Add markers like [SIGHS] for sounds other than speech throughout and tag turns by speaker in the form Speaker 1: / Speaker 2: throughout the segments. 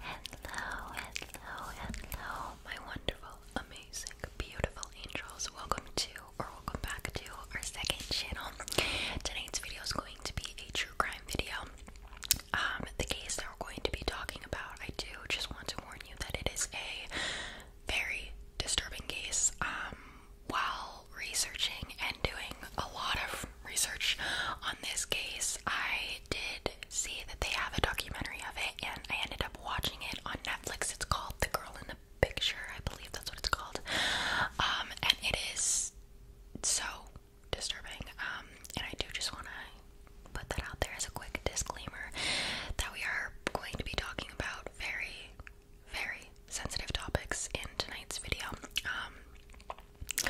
Speaker 1: Hello, hello, hello, my wonderful, amazing, beautiful angels. Welcome to, or welcome back to, our second channel. Tonight's video is going to be a true crime video. Um, the case that we're going to be talking about, I do just want to warn you that it is a very disturbing case. Um, while researching and doing a lot of research on this case, I did see that they have a documentary of it, and I ended up watching it on Netflix. It's called The Girl in the Picture, I believe that's what it's called. Um, and it is so disturbing. Um, and I do just want to put that out there as a quick disclaimer that we are going to be talking about very, very sensitive topics in tonight's video. Um,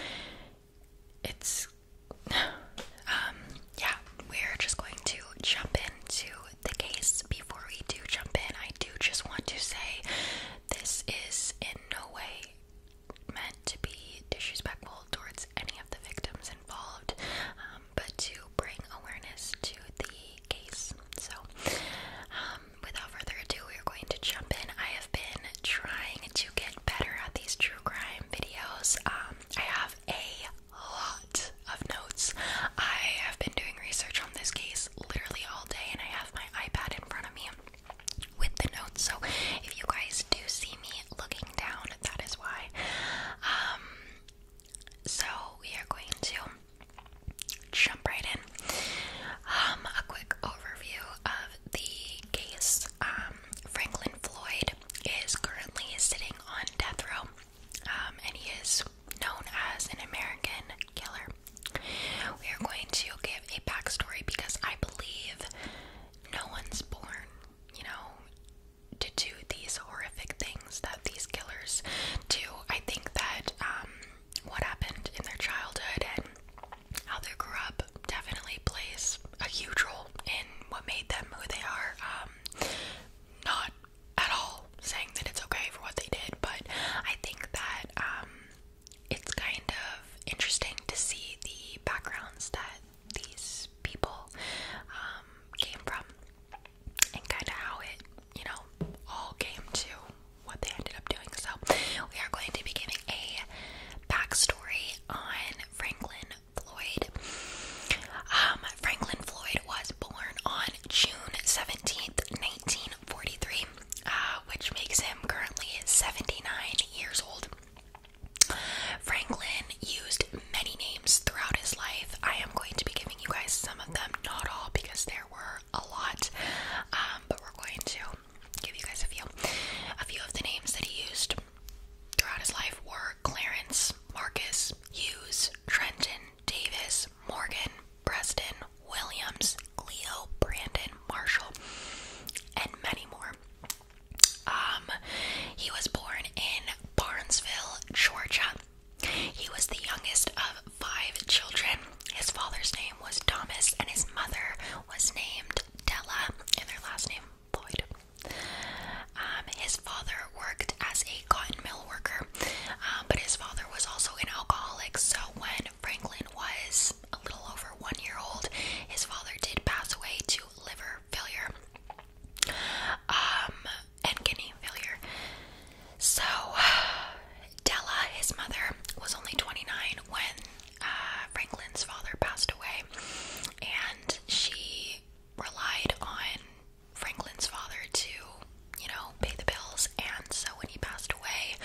Speaker 1: it's [SIGHS] um yeah, we're just going to jump into the case. Before we do jump in, I do just want to say this is in no way meant to be disrespectful towards any of the victims involved, um, but to bring awareness to the case. So, um, without further ado, we're going to jump in. I have been trying to get better at these true crime videos. Um, I have a lot of notes. I have been doing research on this case literally all day, and I have my iPad in front of me with the notes. So if you guys do see me looking down, that is why. Um, so we are going to jump right in um, a quick overview of the case. Um, Franklin Floyd is currently sitting on death row, um, and he is known as an American killer. We are going to give a backstory because I believe no one's born, you know, to do these horrific things that these killers do. I think that um, what happened in their childhood and how they grew up definitely plays a huge role in what made them who they are. Um, not at all saying that it's okay for what they did, but I think that um, it's kind of interesting to see the backgrounds that these people um, came from and kind of how it, you know, all came to what they ended up doing. So, we are going to be giving a backstory on Franklin Floyd. Um, Franklin Floyd was born on June 17th, 1943, uh, which makes him currently 79 years old. Franklin used many names throughout his life. I am going to be giving you guys some of them, not all, because there were a lot, um, but we're going to give you guys a few. A few of the names that he used throughout his life were Clarence, Marcus, Hughes, Trenton, Davis, Morgan, Preston, Williams, Cleo, Brandon, Marshall, and many more. Um, he was born in Barnesville, Georgia. He was the youngest of five children. His father's name was Thomas, and his mother was named Della and their last name Boyd. Um, his father worked as a cotton mill worker, um, but his father was also an alcoholic. So when Franklin was a little over one year old, his father did pass away to liver failure um, and kidney failure. So [SIGHS] Della, his mother, was only 29 when uh, Franklin's father passed away, and she relied on Franklin's father to, you know, pay the bills. And so when he passed away,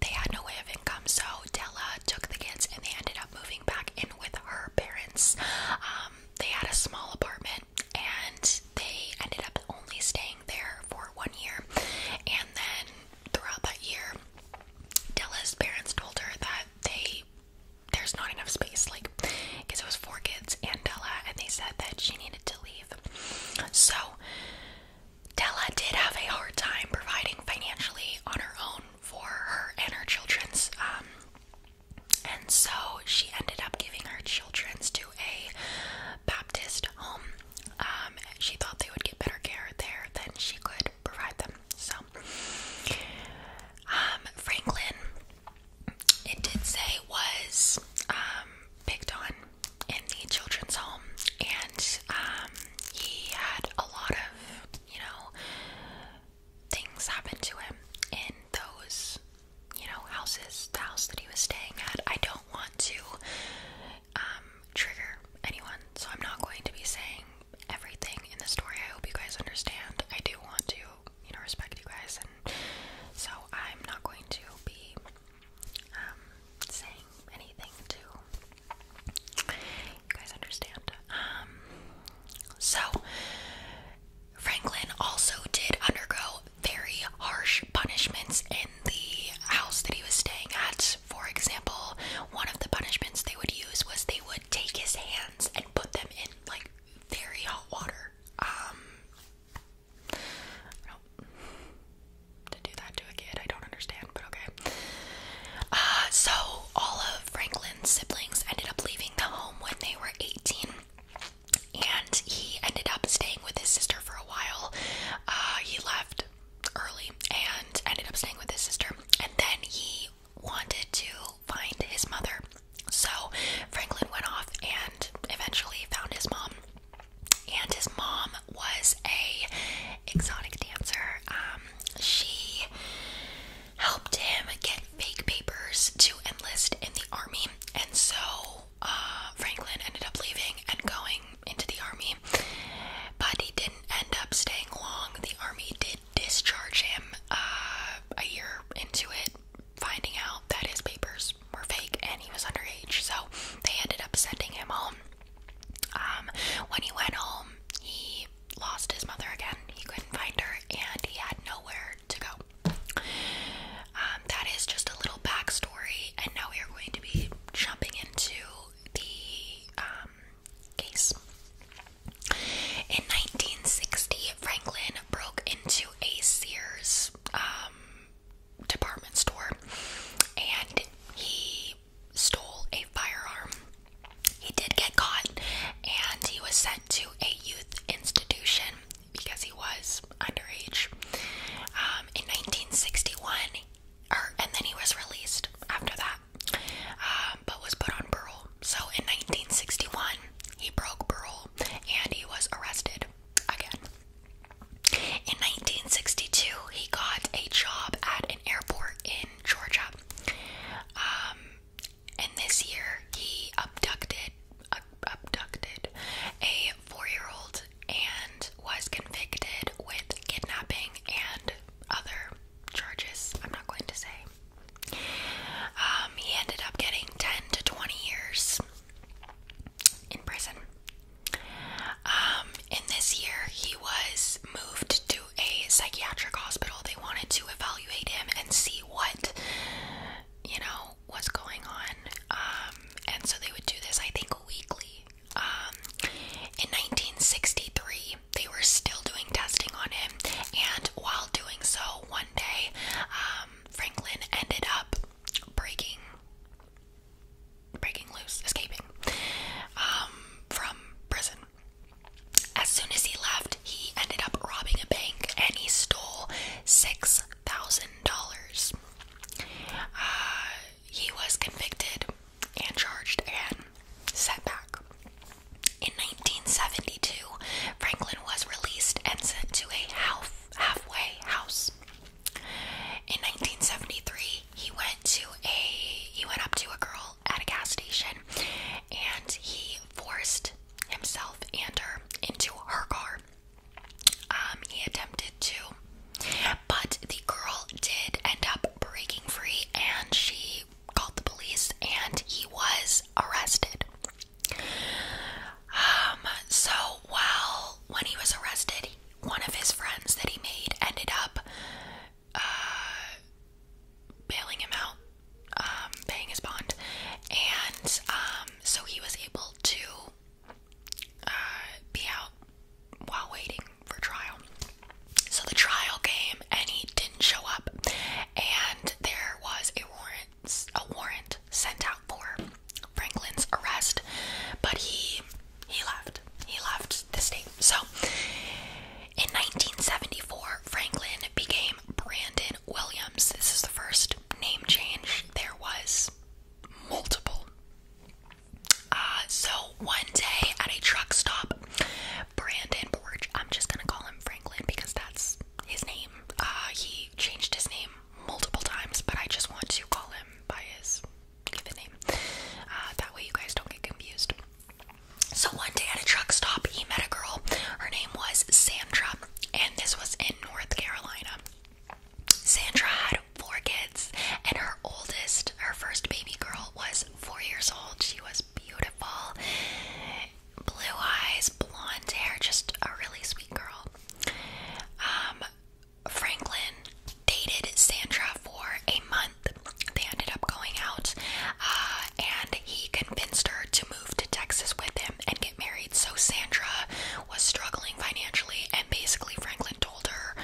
Speaker 1: they had no way of income. So Della took the kids, and they ended up moving back in with her parents. Um, they had a small apartment, and they ended up only staying there for one year. And then throughout that year, Della's parents told her that they there's not enough space like because it was four kids and Della and they said that she needed to leave so Della did have a hard time providing financially on her own for her and her children's um and so she ended up giving her children's to a Baptist home um she thought they would get better care there than she could provide them. So, um, Franklin, it did say, was um, picked on in the children's home, and um, he had a lot of, you know, things happen to him in those, you know, houses, the house that he was staying at. I don't want to trigger anyone, so I'm not going to be saying everything in the story. I hope you guys understand. I do want to, you know, respect you guys, and so I'm not going to be um, saying anything to you guys understand. Um, so Franklin also did undergo very harsh punishments in the house that he was staying at. For example, one of the punishments they would use was they would take his hands and put them in like very hot water. Um, to do that to a kid, I don't understand, but okay. Uh, so all of Franklin's siblings ended up leaving the home when they were 18, and he ended up staying with his sister for a while. Uh, he left early and ended up staying with his sister, and then he wanted to find his mother. So Franklin went off and eventually found his mom. And his mom was a exotic dancer. Um, she helped him get fake papers to enlist in the army, and so uh, Franklin ended up leaving and going into the army. But he didn't end up staying long. The army did discharge him uh, a year into it, finding out that his papers were fake and he was underage. So they ended up sending him home. Um, when he went home, he lost his mother again. He couldn't find her, and he had nowhere to go. Um, that is just a little backstory, and now we are going to be jumping into the um, case. In 1960, Franklin broke into a Sears um, department store and he stole a firearm. He did get caught and he was sent to a youth institution because he was underage. Um, in 1961, or, er, and then he was released after that. Uh, but was put on parole. So in 1961, he broke parole and he was arrested again. In 1962, he got a job at an airport in Georgia. Um, and this year, he abducted, abducted a four-year-old and was convicted with kidnapping and other charges. I'm not going to say. Um, he ended up getting 10 to 20 years in prison. Um, in this year, he was moved to a psychiatric hospital. They wanted to evaluate him and see what, you know, what's going on. Um, and so they would do this, I think, weekly. in 1963, they were still doing testing on him, and while doing so, one day um, Franklin ended up breaking, breaking loose, escaping um, from prison. As soon as he left, he ended up robbing a bank, and he stole six thousand dollars. Uh, he was convicted and charged and setback. In 1972, Franklin was released and sent to a half, halfway house. In 1973, he went to a he went up to a girl at a gas station, and he forced himself and her into her car. Um, he attempted to, but the girl did end up breaking free, and she called the police and he was arrested. Um, so while when he was arrested, one of his friends that he made ended up uh, bailing him out, um, paying his bond, and um, so he was able to uh, be out while waiting for trial. So the trial came and he didn't show up, and there was a warrant a warrant sent out for Franklin's arrest, but he he left. He left the state. So in 1974, Franklin became Brandon Williams. This is the first name change. There was multiple. Uh, so one day at a truck stop, Brandon Borch. I'm just gonna call him Franklin because that's his name. Uh, he changed his name multiple times, but I just want to call him by his given name. Uh, that way you guys don't get confused. So one day at a truck stop, he met a girl. Her name was Sandra, and this was in North Carolina. Sandra had four kids, and her oldest, her first baby girl, was four years old. She was beautiful blue eyes, blonde hair, just a really sweet girl. Um, Franklin dated Sandra for a month. They ended up going out, uh, and he convinced her to move to Texas with him and get married. So Sandra was struggling financially, and basically Franklin told her,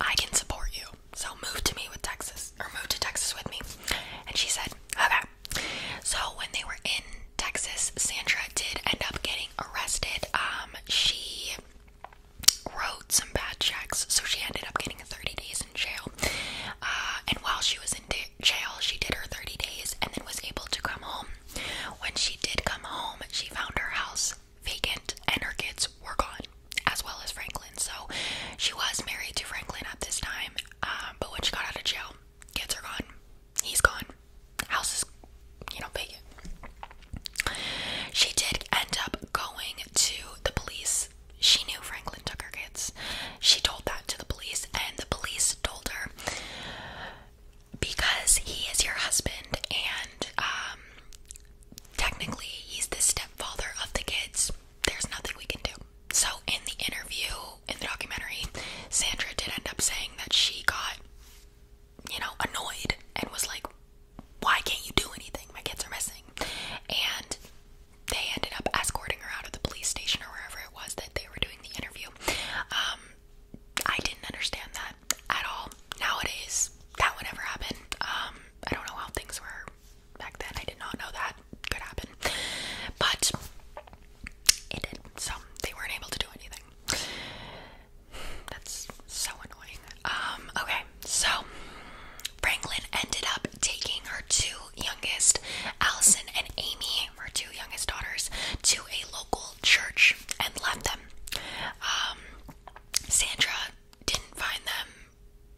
Speaker 1: "I can support you, so move to me with Texas, or move to Texas with me." And she said, "Okay." So when they were in Texas, Sandra did end up getting arrested. Um, she wrote some bad checks, so she ended up getting 30 days in jail. Uh, and while she was in jail, she did her 30 days and then was able to come home. When she did come home, she found her house vacant and her kids were gone, as well as Franklin. So she was married to Franklin at this time, um, but when she got out of jail, kids are gone. He's gone. House is, you know, vacant. She did end up going to the police. She knew Franklin took her kids. She told that to the police, and the police told her because he is your husband, and um, technically he's the stepfather of the kids. There's nothing we can do. So in the interview, in the documentary, Sandra did end up saying that she got, you know, annoyed and was like, "Why can't you do anything? My kids are missing." And they ended up escorting her out of the police station or wherever it was that they were doing the interview. Um, I didn't understand that at all. Nowadays, that would never happen. Um, I don't know how things were back then. I did not know that could happen, but it did. So they weren't able to do anything. That's so annoying. Um, okay, so Franklin ended up taking her two youngest, Allison and Amy, her two youngest daughters, to a local church and left them. Um, Sandra didn't find them,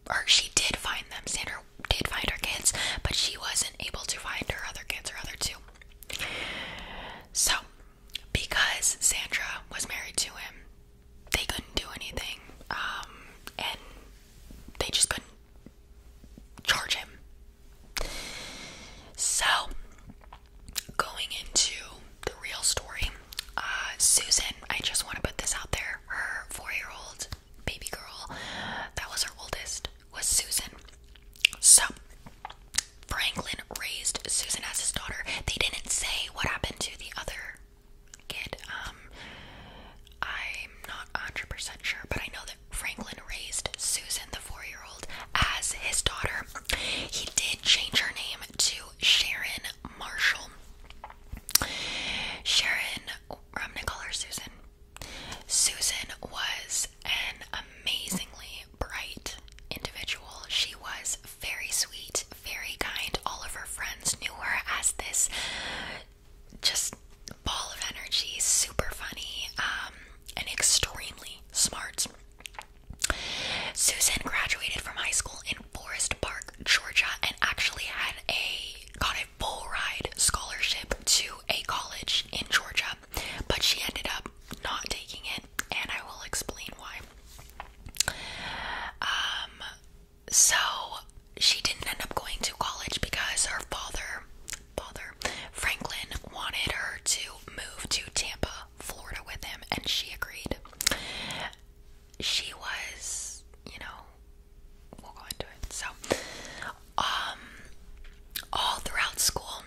Speaker 1: or she did find them. Sandra did find her kids, but she wasn't able to find her other kids, her other two. So, because Sandra was married to him, they couldn't do anything, um, and they just couldn't charge him. So, going into the real story, uh, Susan, I just want to put this out there. Her four year old baby girl that was her oldest was Susan. So Franklin raised Susan as his daughter. They didn't say what happened to the other kid. Um, I'm not 100% sure, but I know that Franklin raised Susan, the four year old, as his daughter. He did change her name to Sharon Marshall. Sharon, I'm gonna call her Susan. Susan was an amazingly bright individual. She was very sweet, very kind. All of her friends knew her as this just ball of energy, super funny, um, and extremely smart. Susan graduated from high school in Forest Park, Georgia, and actually had a got it full ride scholarship to a college in Georgia, but she ended up not taking it, and I will explain why. Um, so she didn't end up going to college because her father, father Franklin, wanted her to move to Tampa, Florida with him, and she agreed. She was, you know, we'll go into it. So, um, all throughout school,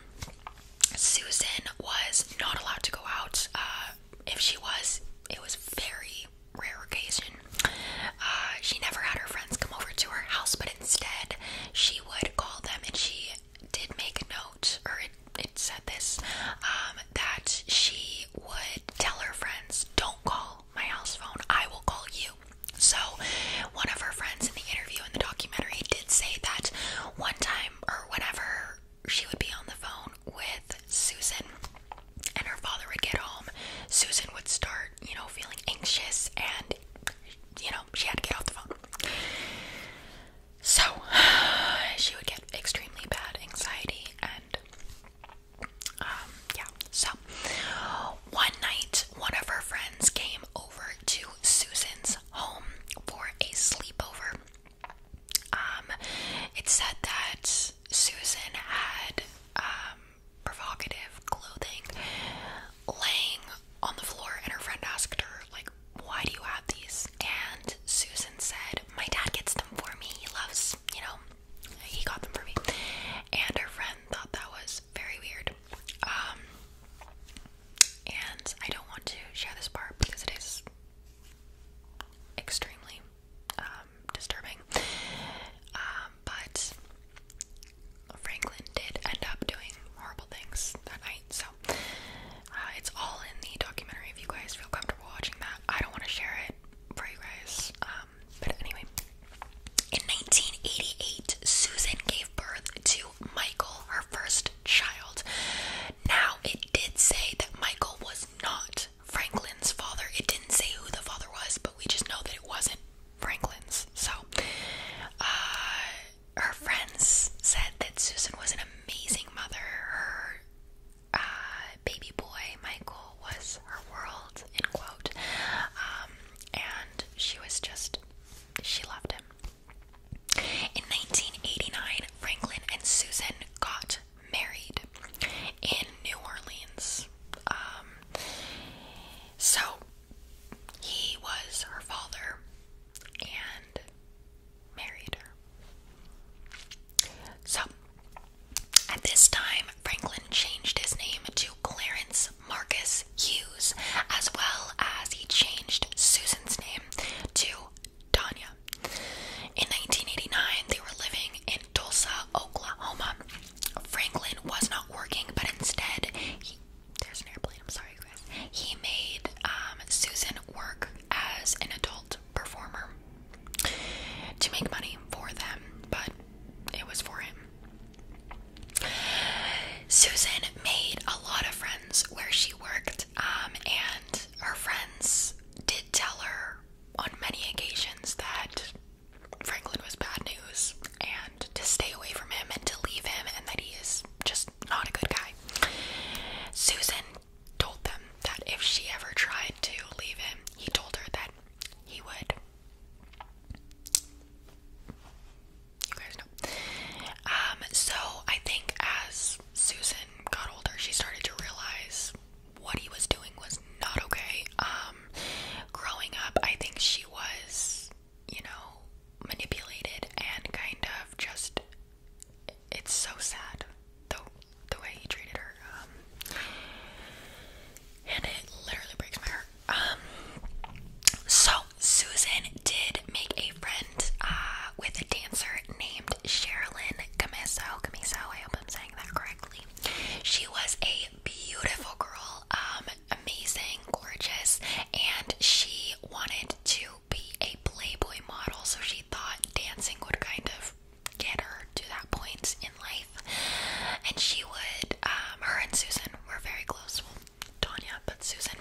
Speaker 1: Susan was not allowed to go out. Uh, if she was, it was very rare occasion. Uh, she never had her friends come over to her house, but instead, she would call them, and she did make a note, or it, said this, um, that she would tell her friends, "Don't call." My house phone, I will call you. So, one of her friends in the interview in the documentary did say that one time or whenever she would be on the phone with Susan and her father would get home, Susan would start, you know, feeling anxious and, you know, she had to get off the phone. So, [SIGHS] she would get extremely bad anxiety and, um, yeah, so one night, one of her friends came over to Susan's home for a sleepover. Um, it said that Susan had um, provocative clothing laying on the floor, and her friend asked her like. Why do you have these? And Susan said, My dad gets them for me. He loves, you know, he got them for me. And her friend thought that was very weird. Um, and I don't want to share this part because it is extremely um, disturbing. Um, but Franklin did end up doing horrible things that night, so uh, it's all in the documentary if you guys feel comfortable watching that. I don't want to share it for you guys. but anyway, in 1988, Susan gave birth to Michael, her first child. Now, it did say that Michael was not Franklin's father. It didn't say who the father was, but we just know that it wasn't Franklin's. So, uh, her friends said that Susan was an amazing mother. Her uh, baby boy, Michael, was her world, in quote. Um, and she was just she loved him. In 1989, Franklin and Susan got married in New Orleans. Um, so he was her father and married her. So at this time, Franklin changed his name to Clarence Marcus Hughes, as well as he changed Susan's name to Tanya. In 1989, they were living in Tulsa, Oklahoma. Franklin was not working, but instead, he, there's an airplane. I'm sorry, guys. He made um, Susan work as an adult performer to make money for them, but it was for him. Susan made a lot of friends where she worked, um, and her friends did tell her on many occasions that Franklin was bad news and to stay away from him and to leave him and that he is just not a good guy. Susan told them that if she ever tried to leave him, he told her that he would you guys know. Um, so I think as Susan got older, she started to realize what he was doing was not okay. Um, growing up, I think she was, you know, manipulated and kind of just. It's so sad, though, the way he treated her. Um, and it literally breaks my heart. Um, so Susan did make a friend uh, with a dancer named Sherilyn Camiso. Camiso, I hope I'm saying that correctly. She was a beautiful girl, um, amazing, gorgeous, and she wanted to be a Playboy model, so she thought dancing would kind of get her to that point in life. And she would, um, her and Susan were very close. Tanya but Susan.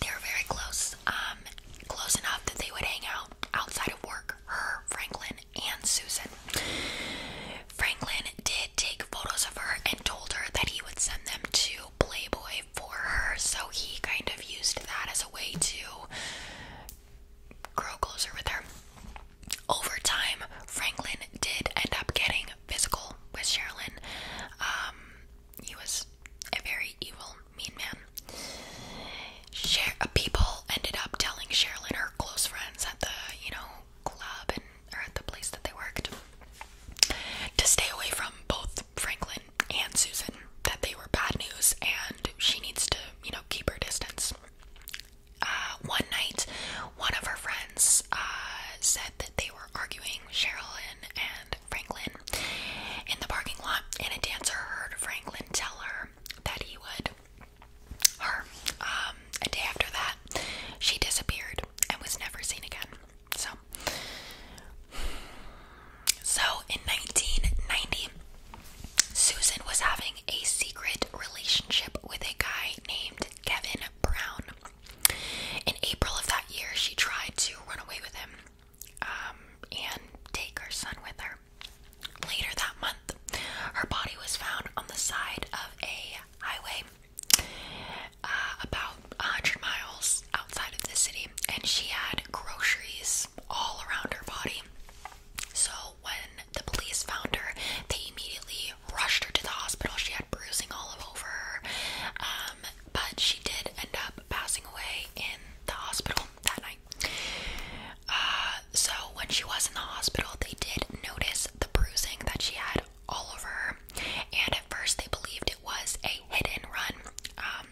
Speaker 1: They were very close, um, close enough that they would hang out outside of work. Her, Franklin, and Susan. Franklin did take photos of her and told her that he would send them to Playboy for her, so he kind of used that as a way to grow closer with her. Over time, Franklin did end up getting physical with Sherilyn. Um, he was a very evil, mean man. A uh, people ended up telling Sherilyn her close friends at the, you know, club and or at the place that they worked to stay away from both Franklin and Susan that they were bad news and she needs to, you know, keep her distance. Uh, one night, one of her friends uh, said that they were arguing with and Franklin in the parking lot, and a dancer heard Franklin tell her that he would. Her. Um, a day after that, she disappeared and was never seen again. So, so in 1990, Susan was having a secret relationship with a guy named Kevin Brown. In April of that year, she tried to run away with him um, and take her son with her. Later that month, her body was found on the side of a highway uh, about 100 miles outside of the city, and she had groceries all around her body. So, when the police found her, they immediately rushed her to the hospital. She had bruising all over her. Um, um, but she did end up passing away in the hospital that night. Uh, so when she was in the hospital, they did notice the bruising that she had all over her, and at first they believed it was a hit and run. Um,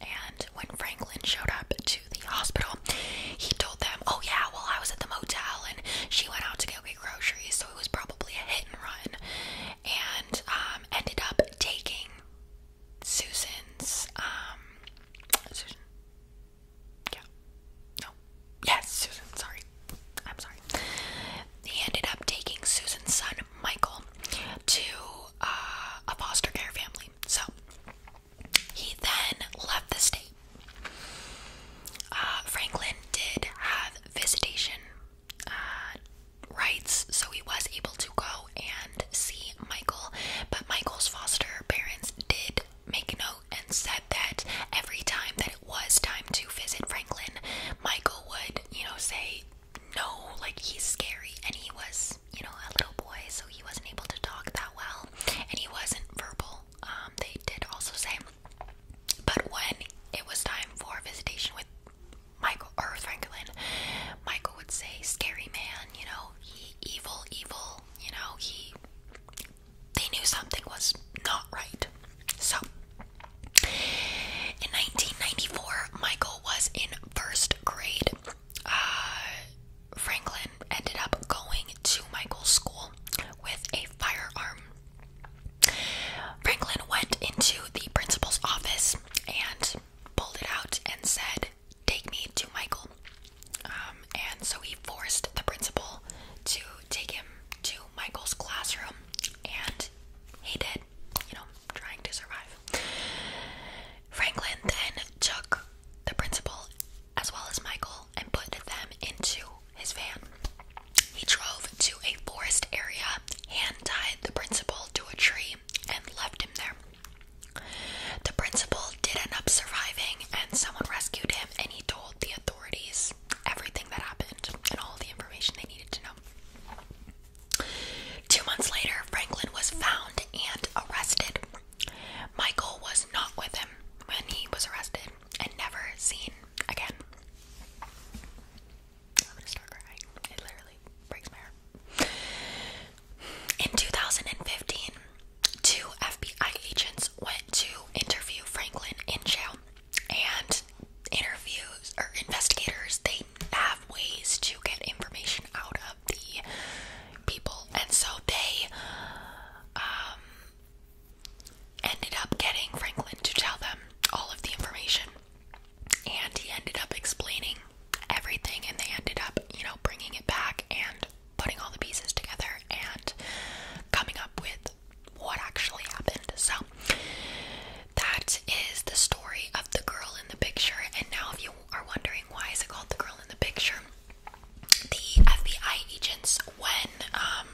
Speaker 1: and when Franklin showed up to the hospital, he told them, Oh, yeah, well, I was at the motel and she went out to go get groceries, so it was probably a hit and run and um, ended up taking Susan's um, Yeah. No. Yes, Susan. Sorry. I'm sorry. He ended up taking Susan's son, Michael, to uh, a foster care family. So he then left the state. Uh, Franklin did have visitation uh, rights, so he was able to go and see Michael. But Michael's foster parents did make note and said that every time that it was time to visit Franklin, Michael would, you know, say no, like he's scary, and he was, you know, a little boy, so he wasn't able to talk that well, and he wasn't verbal. Um, they did also say but when it was time for visitation with Michael or Franklin, Michael would say, "Scary man, you know, he evil, evil, you know, he." They knew something was not right. So, in 1994, Michael was in first grade. Uh, Franklin ended up going to Michael's school with a firearm. Franklin went into the principal's office and pulled it out and said, Take me to Michael. Um, and so he forced the principal to take him to Michael's classroom, and he did, you know, trying to survive. Franklin then took the principal as well as Michael and put them into his van. He drove to a forest area, hand tied the principal to a tree, and left him there. The principal did end up surviving, and someone rescued him, and he told the authorities everything that happened and all the information they needed to know. Two months later, Franklin was found and arrested. Michael was not with him when he was arrested and never seen again. I'm gonna start crying. It literally breaks my heart. In 2015, two FBI agents went to interview Franklin in jail, and interviews or investigators they have ways to get information out of the people, and so they um ended up getting Franklin to tell them all of the information. And he ended up explaining everything, and they ended up, you know, bringing it back and putting all the pieces together and coming up with what actually happened. So, that is the story of the girl in the picture. And now, if you are wondering why is it called the girl in the picture, the FBI agents, when um,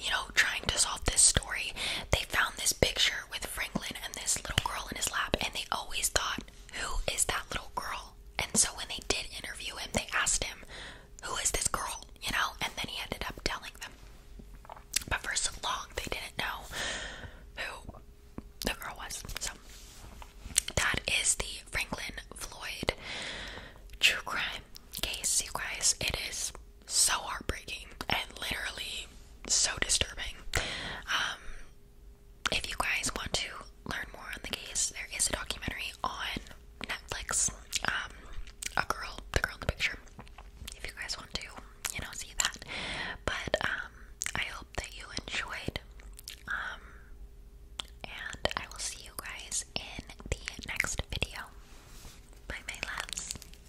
Speaker 1: you know, trying to solve this story, they found this picture with Franklin and this little girl in his lap, and they always thought, Who is that little girl? And so when they did interview him, they asked him, Who is this girl? You know, and then he ended up telling them. But for so long, they didn't know who the girl was. So that is the Franklin Floyd true crime case, you guys. It is so heartbreaking and literally so disturbing. Um, if you guys want to learn more on the case, there is a documentary on Netflix. Um, a girl, the girl in the picture. If you guys want to, you know, see that. But um, I hope that you enjoyed. and I will see you guys in the next video. Bye, my loves.